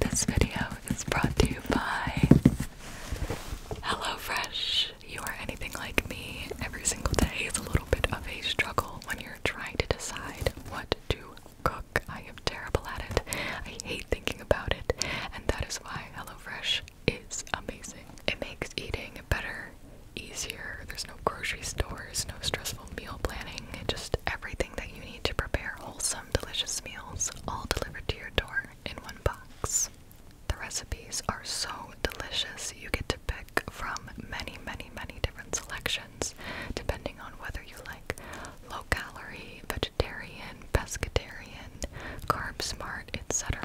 This video is brought to you by HelloFresh. You are anything like me. Every single day is a little bit of a struggle when you're trying to decide what to cook. I am terrible at it. I hate thinking about it, and that is why HelloFresh is amazing. It makes eating better, easier. There's no grocery stores, no stressful meal planning, just everything that you need to prepare wholesome delicious meals, all delivered to your door in one box. The recipes are so delicious, you get to pick from many, many, many different selections depending on whether you like low calorie, vegetarian, pescatarian, carb smart, etc.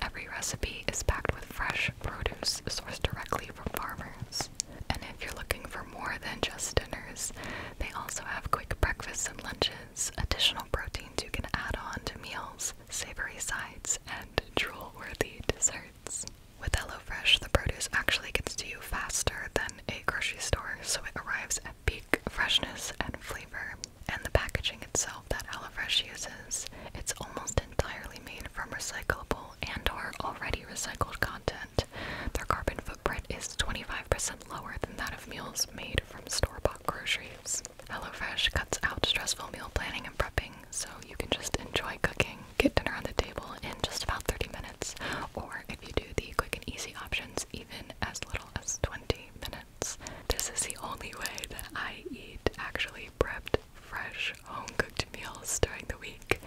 Every recipe is packed with fresh produce sourced directly from farmers. And if you're looking for more than just dinners, they also have quick breakfasts and lunches, additional proteins you can add on to meals, savory sides, and drool worthy desserts. With HelloFresh, the produce actually gets to you faster than a grocery store, so it arrives at peak freshness and flavor. And the packaging itself that HelloFresh uses, it's almost entirely made from recyclable and or already recycled content. Their carbon footprint is 25% lower than that of meals made from store bought groceries. HelloFresh cuts out stressful meal planning and prepping, so you can just enjoy cooking, get dinner on the table in just about 30 minutes, or if you do the quick and easy options, even as little as 20 minutes. This is the only way that I eat actually prepped, fresh, home cooked meals during the week,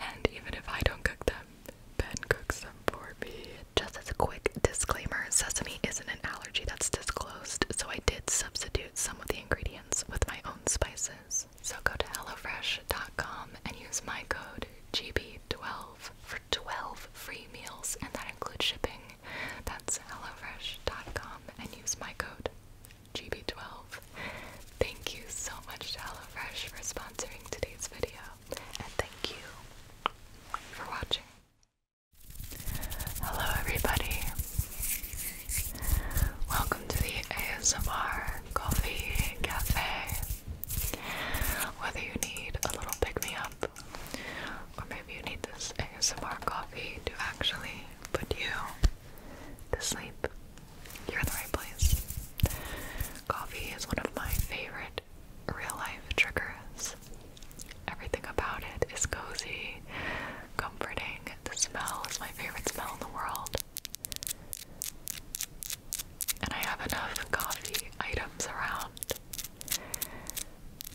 and even if I don't cook them, just as a quick disclaimer, sesame isn't an allergy that's disclosed, so I did substitute some of the ingredients with my own spices. So go to HelloFresh.com and use my code GB12 for 12 free meals, and that includes shipping. That's HelloFresh.com and use my code GB12. Thank you so much to HelloFresh for sponsoring today's video and thank you for watching. Hello, everybody. Welcome to the ASMR Coffee Cafe. Whether you need a little pick me up, or maybe you need this ASMR coffee to actually put you to sleep, you're in the right place. Coffee is one of my favorite real life triggers. Everything about it is cozy, comforting. The smell is my favorite smell in the world. And I have enough coffee items around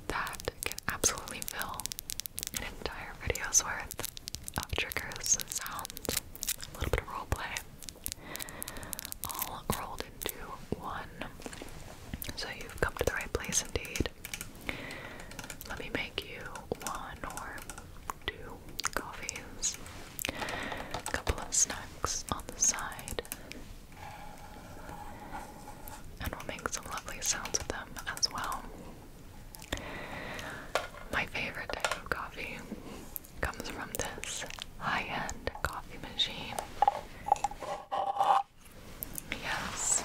that can absolutely fill an entire video's worth of triggers, and sounds, a little bit of roleplay all rolled into one. So you've come to the right place indeed. Let me make you one or two coffees, a couple of snacks on the side, and we'll make some lovely sounds with them as well. My favorite type of coffee comes from this high-end coffee machine. Yes.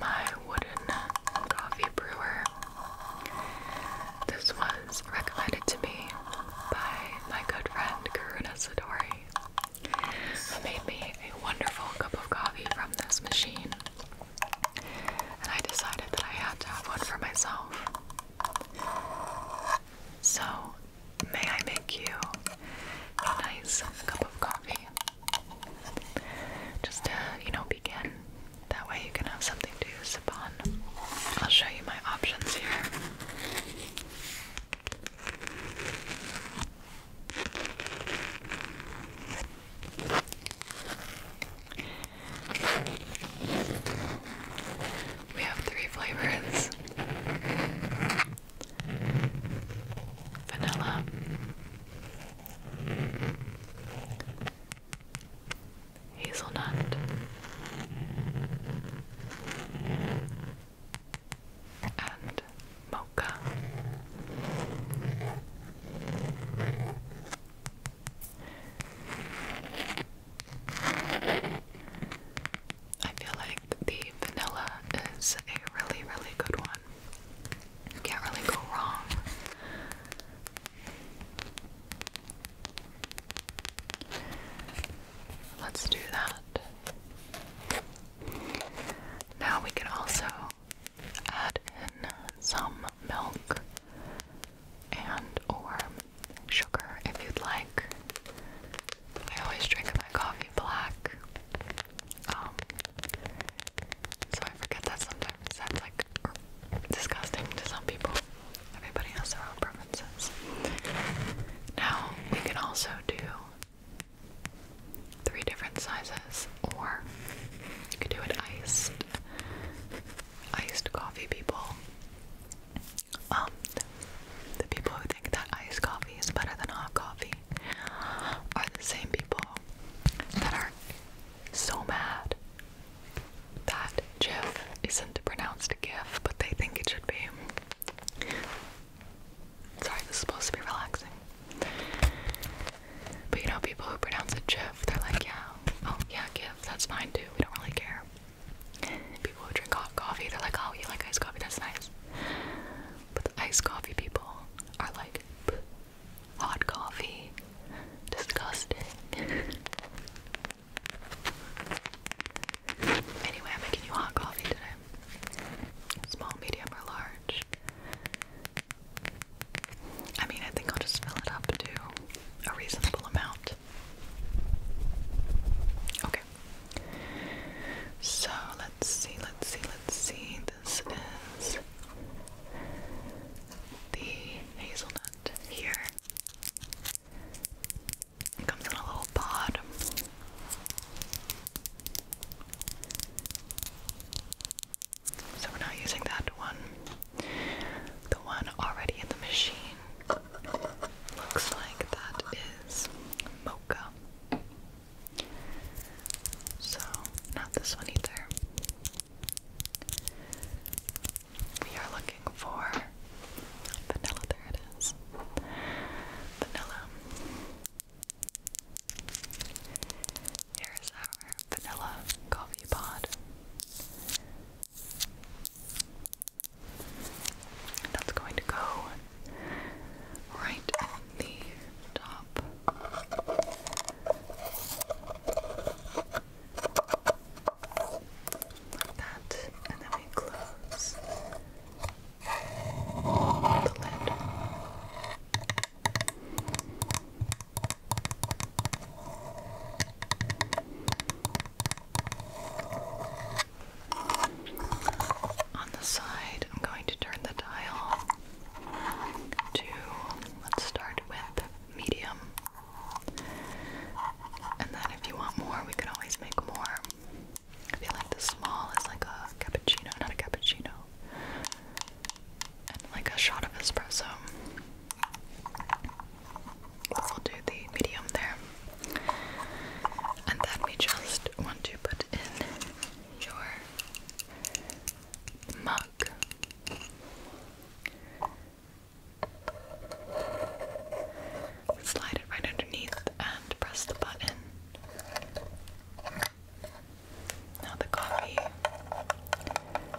My wooden coffee brewer. This was recommended to me by my good friend Karuna Sidori, made me a wonderful cup of coffee from this machine and I decided that I had to have one for myself. So, may I make you a nice cup of coffee? Just to, you know, begin. That way you can have something to sip on. I'll show you my options here. We have three flavors vanilla, hazelnut, and mocha. I feel like the vanilla is a really, really good one. You can't really go wrong. Let's do that. Now we can also add in some milk and or sugar if you'd like. I always drink my coffee black. Um, so I forget that sometimes that's like disgusting to some people. Everybody has their own preferences. Now we can also do three different sizes, or you could do it iced, iced coffee people. Um, the people who think that iced coffee is better than hot coffee are the same people that are so mad that GIF isn't pronounced GIF, but they think it should be. Sorry, this is supposed to be relaxing. But you know, people who pronounce it "jiff," they're like, yeah, oh yeah, "jiff." That's fine too. We don't really care. People who drink hot coffee, they're like, oh, you like iced coffee? That's nice. But iced coffee people are like, hot coffee, disgusting. anyway, I'm making you hot coffee today. Small, medium, or large. I mean, I think I'll just fill it up to a reasonable amount. Okay. So let's see, let's see, let's see. This is the hazelnut here. It comes in a little pod. So we're not using that one. The one already in the machine looks like that is mocha. So, not this one either. We are looking for vanilla, there it is. Vanilla. Here's our vanilla coffee pod. that's going to go right in the top. Like that. And then we close the lid. On the side, I'm going to turn the dial to, let's start with medium. And then if you want more, we can always make more. I feel like the small is like a cappuccino, not a cappuccino. And like a shot of espresso we will do the medium there. And then we just want to put in your mug. Slide it right underneath and press the button. Now the coffee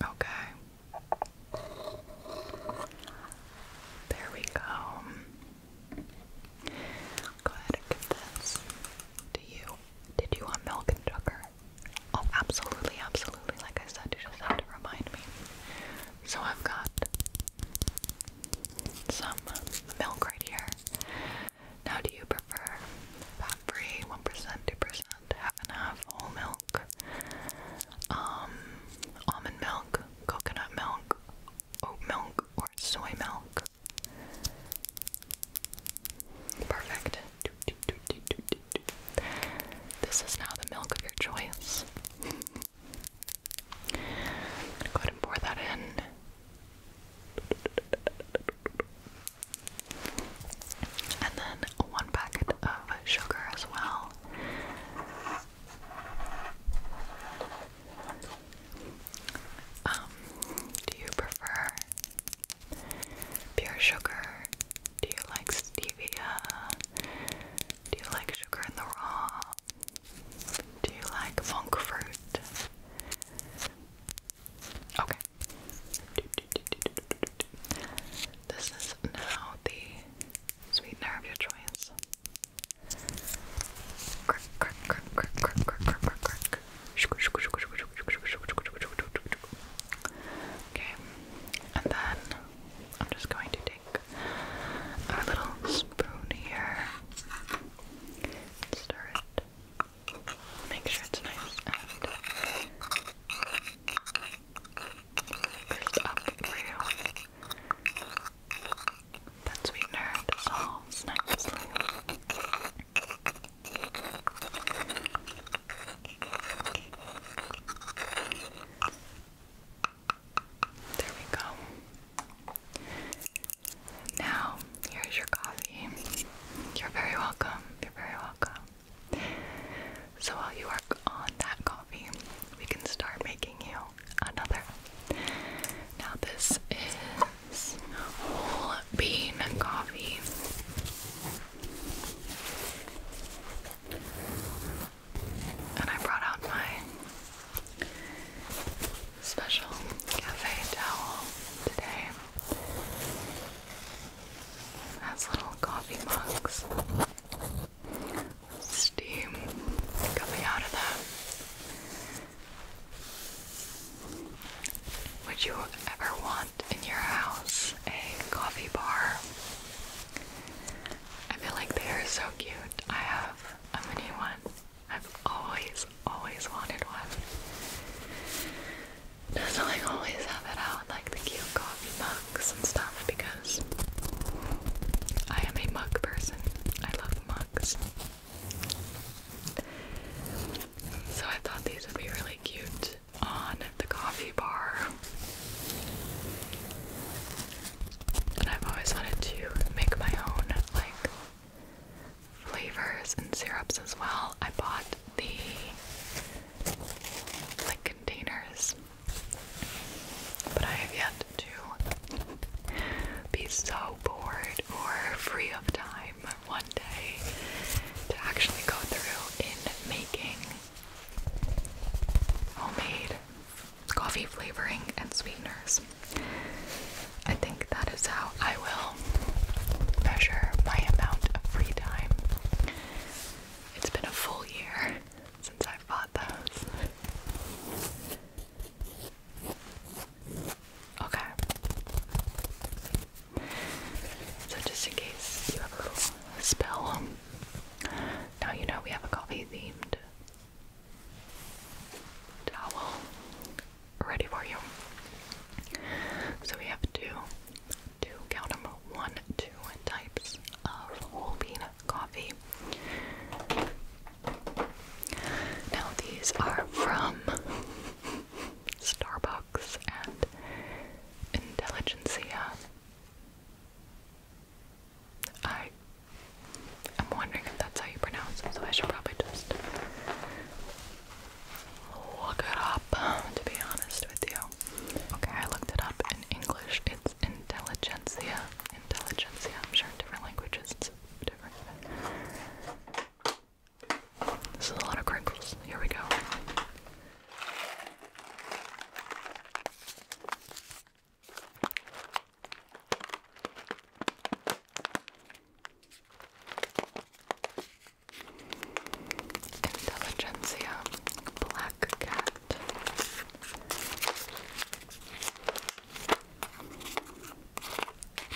Okay. There we go. Go ahead and give this to you. Did you want milk and sugar? Oh, absolutely, absolutely. Like I said, you just have to remind me. So I've got some milk right here. Now, do you prefer fat free, 1%, 2%, half and half, whole milk, um, almond milk, coconut milk, oat milk, or soy milk? Perfect. This is now the milk of your choice. go ahead and pour that in. And then one packet of sugar as well. Um, do you prefer pure sugar? Do you like stevia? Do you like sugar in the raw? Do you like monk fruit? Okay. This is now the sweetener of your choice. Okay, and then I'm just going to take take our little spoon here and stir it. Make sure it's nice and first up for That sweetener dissolves nicely. There we go. Now, here's your coffee. You're very welcome. You're very welcome. So, while you work on that coffee, we can start making you another. Now, this is whole bean coffee. And I brought out my special cafe towel today. Has little coffee mugs. Steam coming out of that. Would you ever want in your house a coffee bar? I feel like they are so cute. I have a mini one. I've always, always wanted one. does like always have it out like the cute coffee mugs and stuff because I am a mug person. I love mugs. So I thought these would be really cute on the coffee bar and I've always wanted to make my own like flavors and syrups as well. I bought the like containers, but I have yet to be so bored or free of time one day to actually go through in making homemade coffee flavoring and sweeteners. I think that is how I will measure my amount of free time. It's been a full year since I bought those. Okay. So, just in case you have a little spell, now you know we have a coffee themed towel ready for you. So we have two, two, count them, one, two types of whole bean coffee. Now these are from Starbucks and Intelligencia. I I'm wondering if that's how you pronounce it, so I should probably just look it up, to be honest with you. Okay, I looked it up in English. It's intelligentsia. Intelligentsia. I'm sure in different languages it's different. This is a lot of crinkles. Here we go. Intelligentsia, black cat.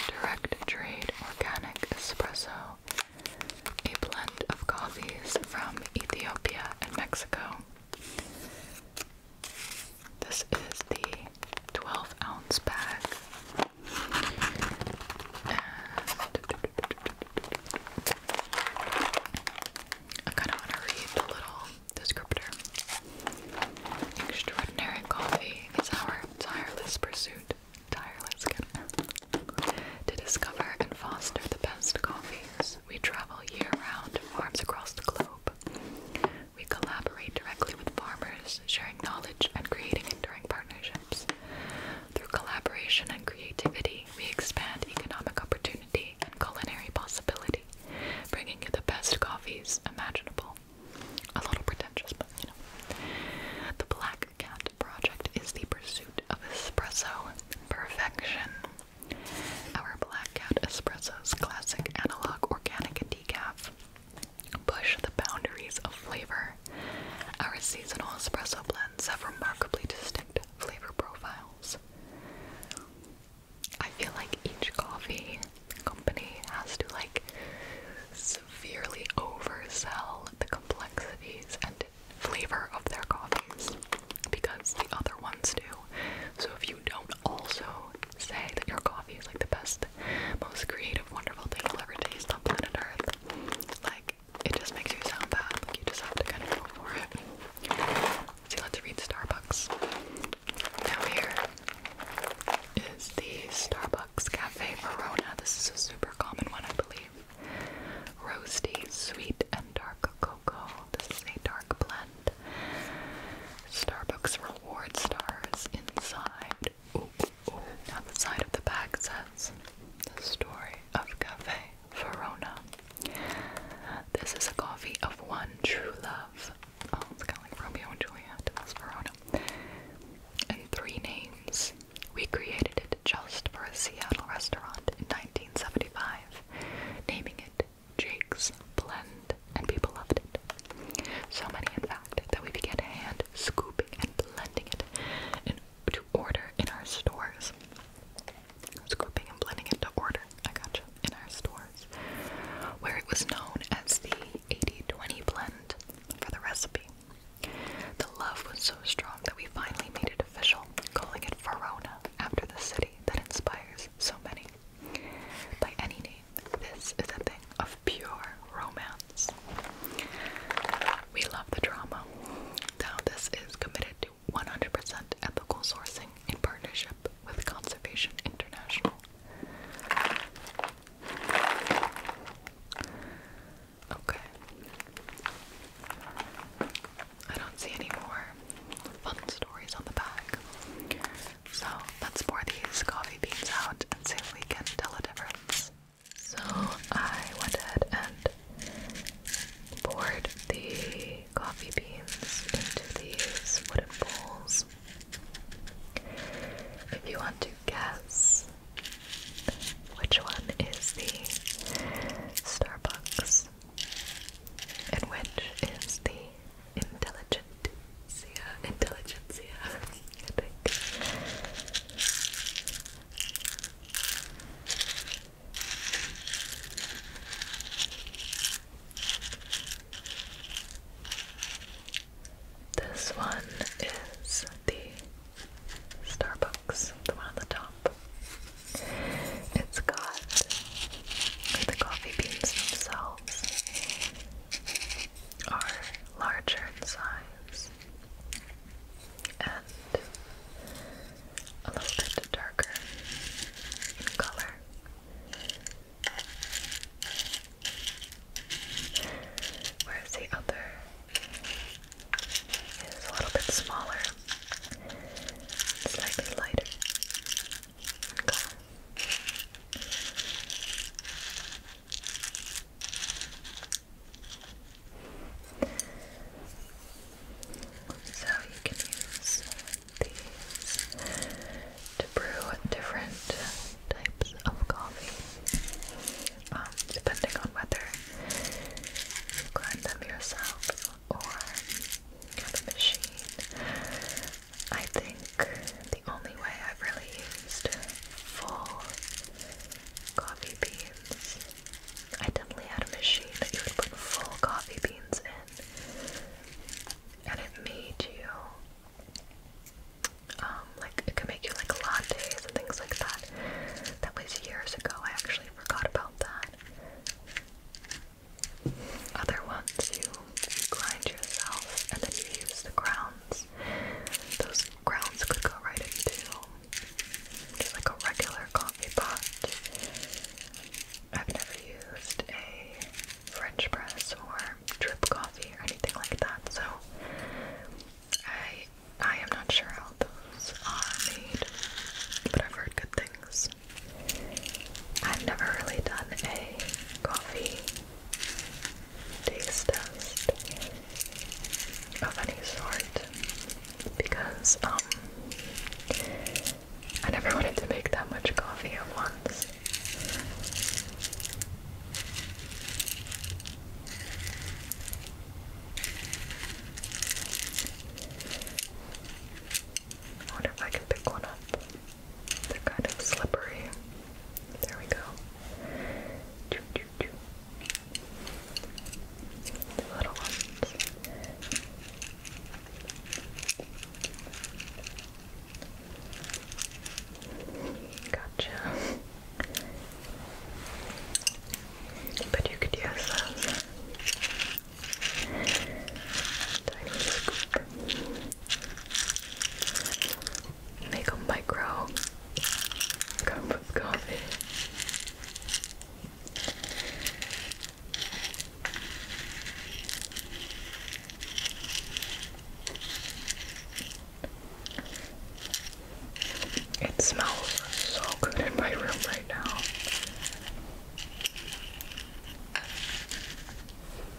Direct trade organic espresso, a blend of coffees from Ethiopia and Mexico. This is the 12 ounce pack, And I kind of want to read the little descriptor. Extraordinary coffee is our tireless pursuit. Tireless to discover and foster the best coffees. We travel year round to farms across the globe. We collaborate directly with farmers, sharing knowledge and creating enduring partnerships. Through collaboration and creativity, we expand economic opportunity and culinary possibility, bringing you the best coffees imaginable. A little pretentious, but you know. The Black Cat Project is the pursuit of espresso perfection. Our Black Cat Espresso's classic analog organic and decaf push the boundaries of flavor. Our seasonal espresso blends have remarkably distinct flavor profiles. I feel like each coffee company has to like severely oversell the complexities and flavor of their coffees because the other ones do. So if you don't also say that your coffee is like the best, most creative, wonderful thing you'll ever taste on planet Earth, like it just makes you sound bad. Like you just have to kind of go for it. See, let's read Starbucks. Now here is the Starbucks Cafe Verona. This is a super common one, I believe. Roasty, sweet, and dark cocoa. This is a dark blend. Starbucks reward stars inside. Now the side of the bag says the story of Cafe Verona. This is a coffee of one true love. Oh, it's kind of like Romeo and Juliet. That's Verona. And three names. We created it just for a Seattle restaurant in 1975, naming it Jake's blend, and people loved it. So many, in fact, that we began hand scooping and blending it in, to order in our stores. Scooping and blending it to order, I gotcha, in our stores, where it was known as the 80 20 blend for the recipe. The love was so strong that we finally made it official, calling it Verona after the city that inspires so many by any name. This is a thing of pure romance. We love the drama. Now, this is committed to 100% ethical sourcing in partnership with Conservation International. Okay. I don't see any more fun stories on the back. So let's pour these coffee beans out and see if we can tell a difference. So I went ahead and poured the coffee beans into these wooden bowls. If you want to guess which one is the Starbucks and which is the intelligentsia, intelligentsia, This one is the Starbucks, the one on the top. It's got the coffee beans themselves are larger in size and a little bit darker in color. Whereas the other is a little bit smaller, slightly lighter and So you can use these to brew different types of coffee, um, depending on whether you grind them yourself or have a machine. I think the only way I've really used full coffee beans. I definitely had a machine that you would put full coffee beans in, and it made you. Um, like it could make you like lattes and things like that. That was years ago. I actually forgot about that. Other ones you grind yourself and then you use the crowns. Those crowns could go right into like a regular coffee pot. I've never used a French press or drip coffee or anything like that, so I I am not sure how those are made, but I've heard good things. I've never really done a coffee taste test of any sort because um I never wanted to make that much coffee at once. wonder if I can pick one up. They're kind of slippery. There we go. The little ones. Gotcha. But you could use those. Make a micro cup of coffee. It smells so good in my room right now.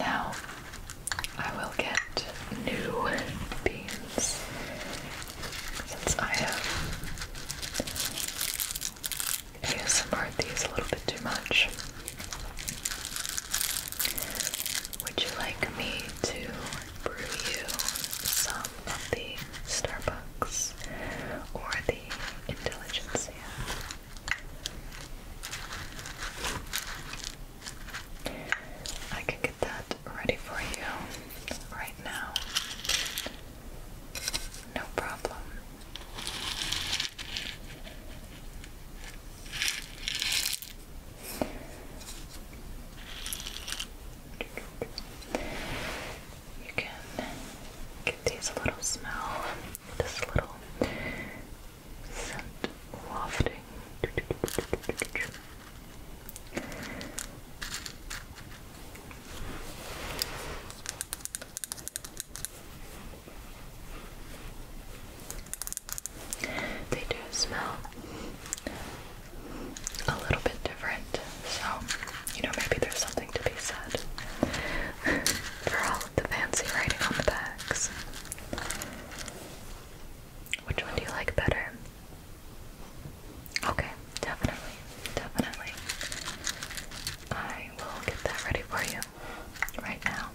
Now I will get new beans since I have ASMR these a little bit too much. Would you like me to brew you some of the Starbucks or the Intelligentsia? I can get that ready for you right now. No problem. You can give these a little smell, this little scent wafting. They do smell a little bit different, so you know, maybe there's something to be said for all of the fancy writing on the bags. Which one do you like better? Okay, definitely, definitely. I will get that ready for you right now.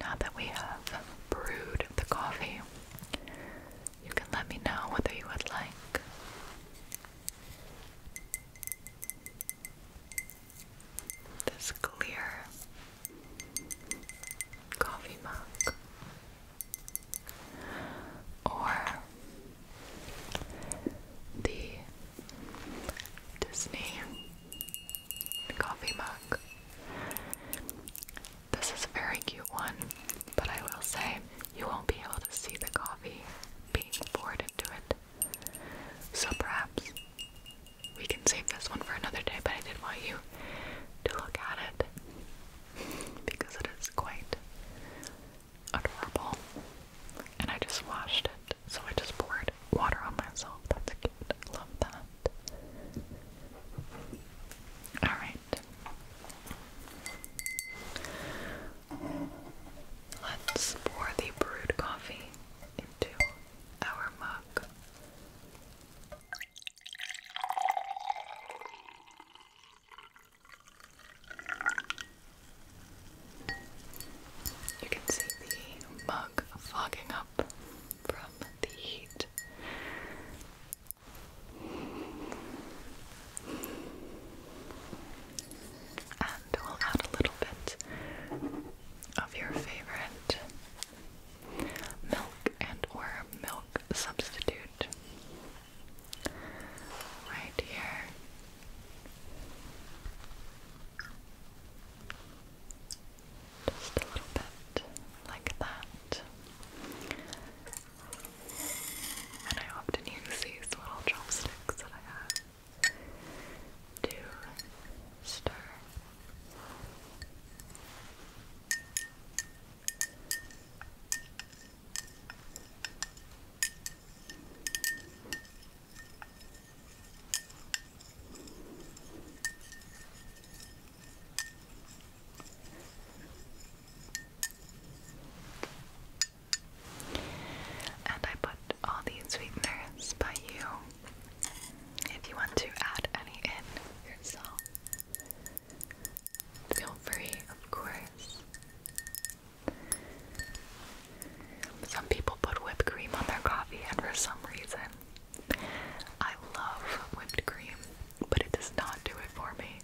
Now that we have brewed the coffee, you can let me know whether you would like this clear coffee mug or the Disney coffee mug. This is a very cute one, but I will say you won't be able to see the coffee being poured into it. So perhaps we can save this one for another day, but I did want you to look at it because it is quite adorable. And I just washed it, so I just poured water on myself. That's cute. I love that. Alright. Let's pour the brewed coffee into our mug. You can see the mug fogging up from the heat. And we'll add a little bit of your favorite milk and or milk substitute right here. Just a little bit like that. And I often use these little chopsticks that I have to stir. And I put all these sweeteners by you if you want to add any in yourself. Feel free, of course. Some people put whipped cream on their coffee, and for some reason, I love whipped cream, but it does not do it for me.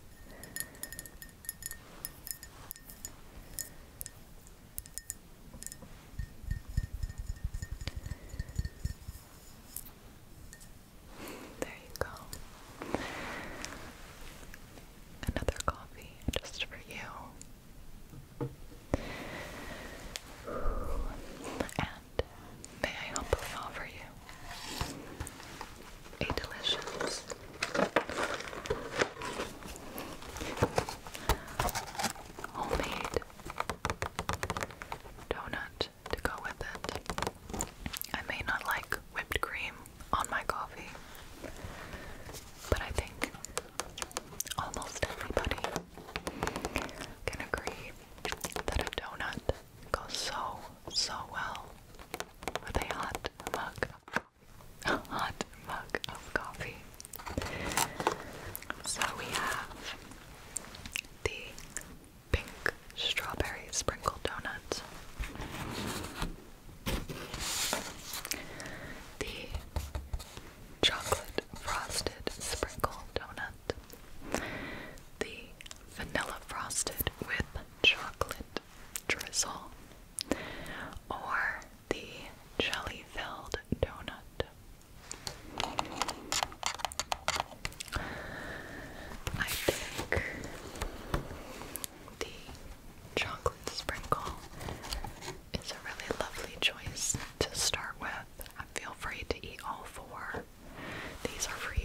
There you go another coffee just for you. And may I humbly offer you a delicious homemade donut to go with it. I may not like whipped cream on my coffee, but I think almost everybody can agree that a donut goes so, so well with a hot mug of hot mug of coffee. So we have the pink strawberry sprinkled donuts the chocolate frosted sprinkle donut, the vanilla frosted with chocolate drizzle, or the jelly filled donut. I think the chocolate sprinkle is a really lovely choice to start with. Feel free to eat all four. These are for you.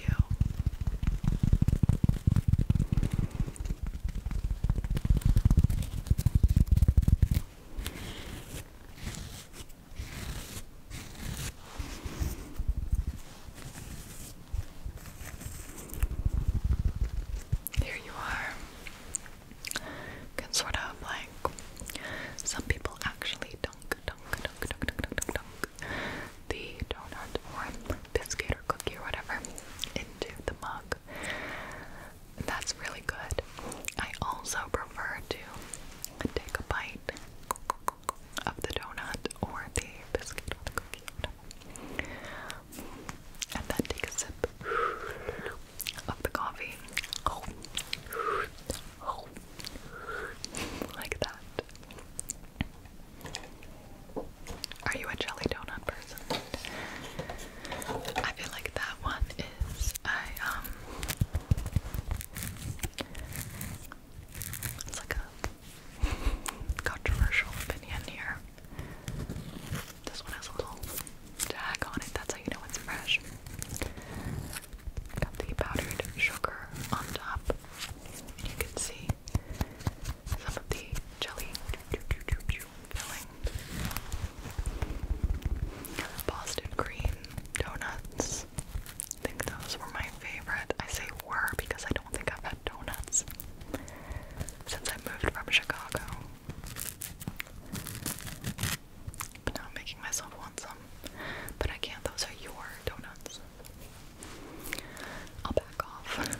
Here you are. can sort out like some people actually dunk, dunk, dunk, dunk, dunk, dunk, dunk the donut or biscuit or cookie or whatever into the mug. That's really good. I also prefer to take a bite of the donut or the biscuit or cookie. And then take a sip of the coffee. Like that. Are you a jelly donut person? I feel like that one is I um it's like a controversial opinion here. This one has a little tag on it, that's how you know it's fresh. Got the powdered sugar on top. You can see some of the jelly filling. Boston cream donuts. I think those were my favorite. I say were because I don't don't think I've had donuts since I moved from Chicago. now I'm making myself want some. But I can't, those are your donuts. I'll back off.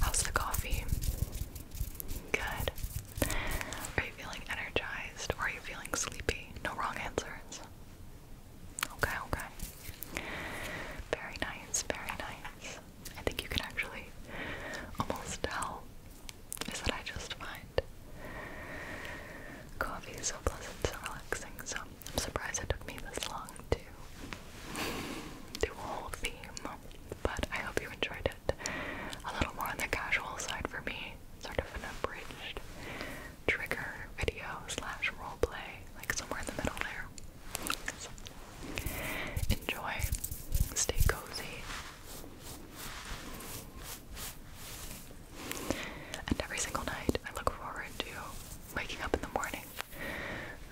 How's the coffee? Good. Are you feeling energized or are you feeling sleepy? No wrong answers. Okay, okay. Very nice, very nice. I think you can actually almost tell. Is that I just find coffee so pleasant, so relaxing, so I'm surprised it took me this long to do a whole theme. But I hope you enjoyed it. A little more on the casual side for me, sort of an abridged trigger video slash roleplay, like somewhere in the middle there. enjoy, stay cozy. And every single night, I look forward to waking up in the morning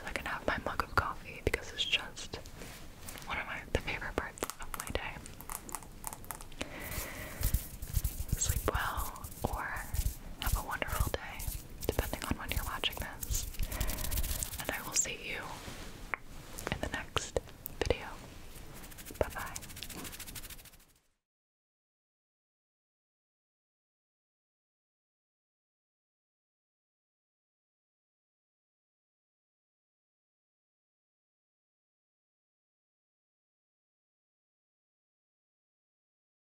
so I can have my mug of coffee because it's just one of my the favorite parts of my day. Sleep well, or have a wonderful day, depending on when you're watching this. And I will see you in the next video. Bye bye.